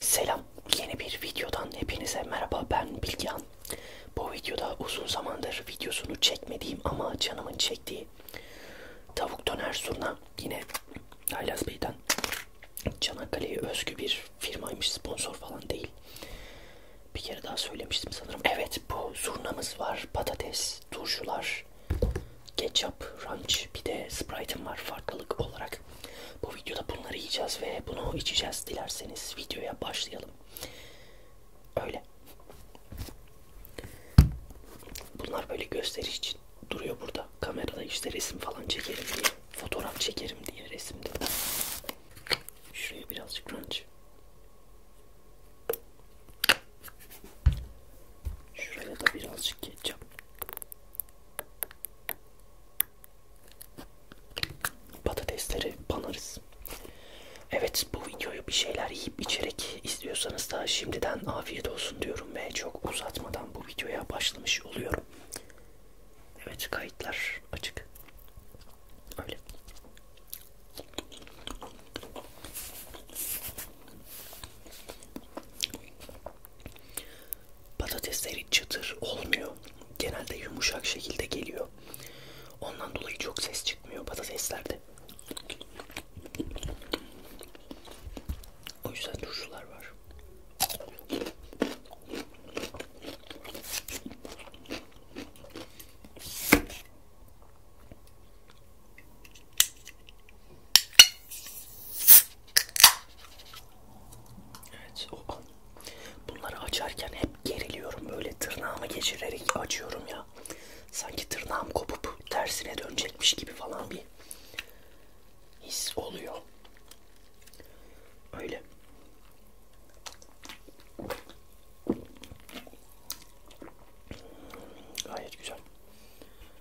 Selam, yeni bir videodan hepinize merhaba ben Bilgehan. Bu videoda uzun zamandır videosunu çekmediğim ama canımın çektiği tavuk döner surna yine Haylaz Bey'den Çanakkale'ye özgü bir firmaymış sponsor falan değil. Bir kere daha söylemiştim sanırım. Evet bu zurnamız var, patates, turşular, ketçap, ranch bir de Sprite'ım var farklılık olarak olarak bu videoda bunları yiyeceğiz ve bunu içeceğiz. Dilerseniz videoya başlayalım. Öyle. Bunlar böyle gösteriş için duruyor burada. Kamerada işte resim falan çekerim diye. Fotoğraf çekerim diye resimde. Şuraya birazcık crunch. Şuraya da birazcık ketçap patatesleri banarız. Evet bu videoyu bir şeyler yiyip içerek izliyorsanız da şimdiden afiyet olsun diyorum ve çok uzatmadan bu videoya başlamış oluyorum. Evet kayıtlar açık. Öyle patatesleri çıtır olmuyor. Genelde yumuşak şekilde geliyor. Ondan dolayı çok ses çıkmıyor patateslerde. O yüzden turşular var. Evet. Opa. Bunları açarken hep geriliyorum. Böyle tırnağımı geçirerek açıyorum ya. Sanki tırnağım kopup tersine dönecekmiş gibi falan bir his oluyor. Öyle. Gayet güzel.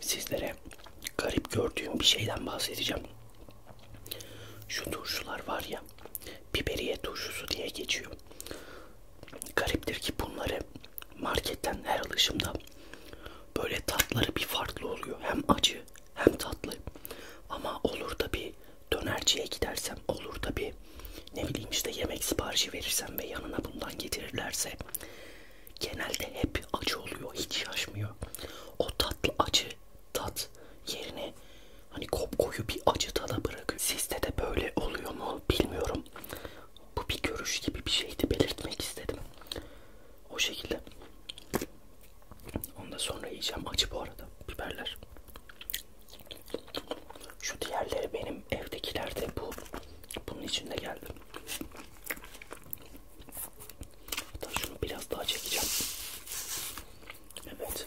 Sizlere garip gördüğüm bir şeyden bahsedeceğim. Şu turşular var ya, biberiye turşusu diye geçiyor. Gariptir ki bunları marketten her alışımda böyle tatları bir farklı oluyor. Hem acı hem tatlı ama olur da bir dönerciye gidersem olur da bir ne bileyim işte yemek siparişi verirsem ve yanına bundan getirirlerse genelde hep acı oluyor hiç şaşmıyor o tatlı acı tat yerine hani kopkoyu bir acı tada bırakıyor sizde de böyle oluyor mu bilmiyorum bu bir görüş gibi bir şeydi belirtmek istedim o şekilde onu da sonra yiyeceğim. Acı bu arada biberler. Şu diğerleri benim evdekiler de bu. Bunun içinde geldi. Hatta şunu biraz daha çekeceğim. Evet.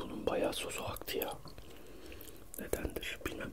Bunun bayağı sosu aktı ya. Nedendir bilmem.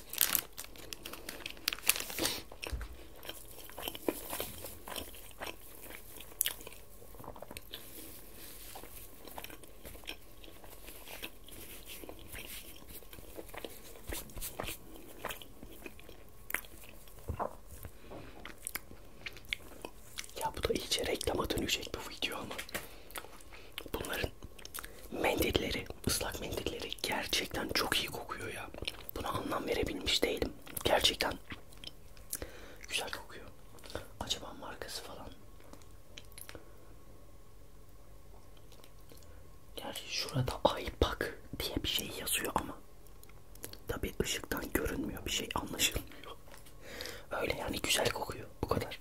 Ya bu da iyice reklama dönecek bu video ama bunların mendilleri Islak mendilleri gerçekten çok iyi kokuyor ya. Buna anlam verebilmiş değilim. Gerçekten güzel kokuyor. Acaba markası falan. Gerçi şurada aypak diye bir şey yazıyor ama tabi ışıktan görünmüyor bir şey anlaşılmıyor. Öyle yani güzel kokuyor bu kadar.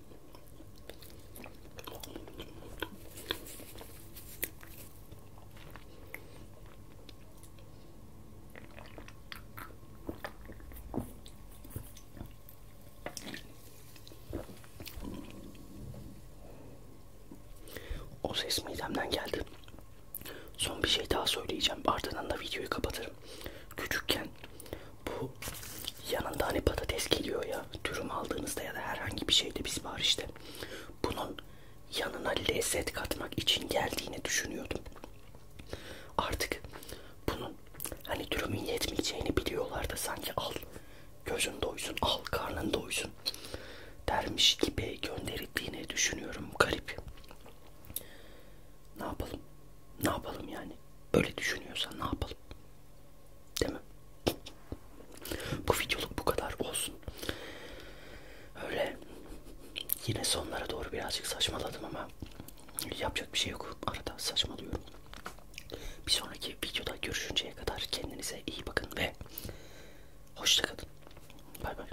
O ses midemden geldi. Son bir şey daha söyleyeceğim. Ardından da videoyu kapatırım. Küçükken bu yanında hani patates geliyor ya dürüm aldığınızda ya da herhangi bir şeyde biz var işte bunun yanına lezzet katmak için geldiğini düşünüyordum artık bunun hani dürümün yetmeyeceğini biliyorlar da sanki al gözün doysun al karnın doysun dermiş gibi gönderildiğini düşünüyorum garip ne yapalım ne yapalım yani böyle düşünüyorsan ne yapalım Değil mi? Bu videoluk bu kadar olsun. Öyle yine sonlara doğru birazcık saçmaladım ama yapacak bir şey yok. Arada saçmalıyorum. Bir sonraki videoda görüşünceye kadar kendinize iyi bakın ve hoşça kalın. Bay bay.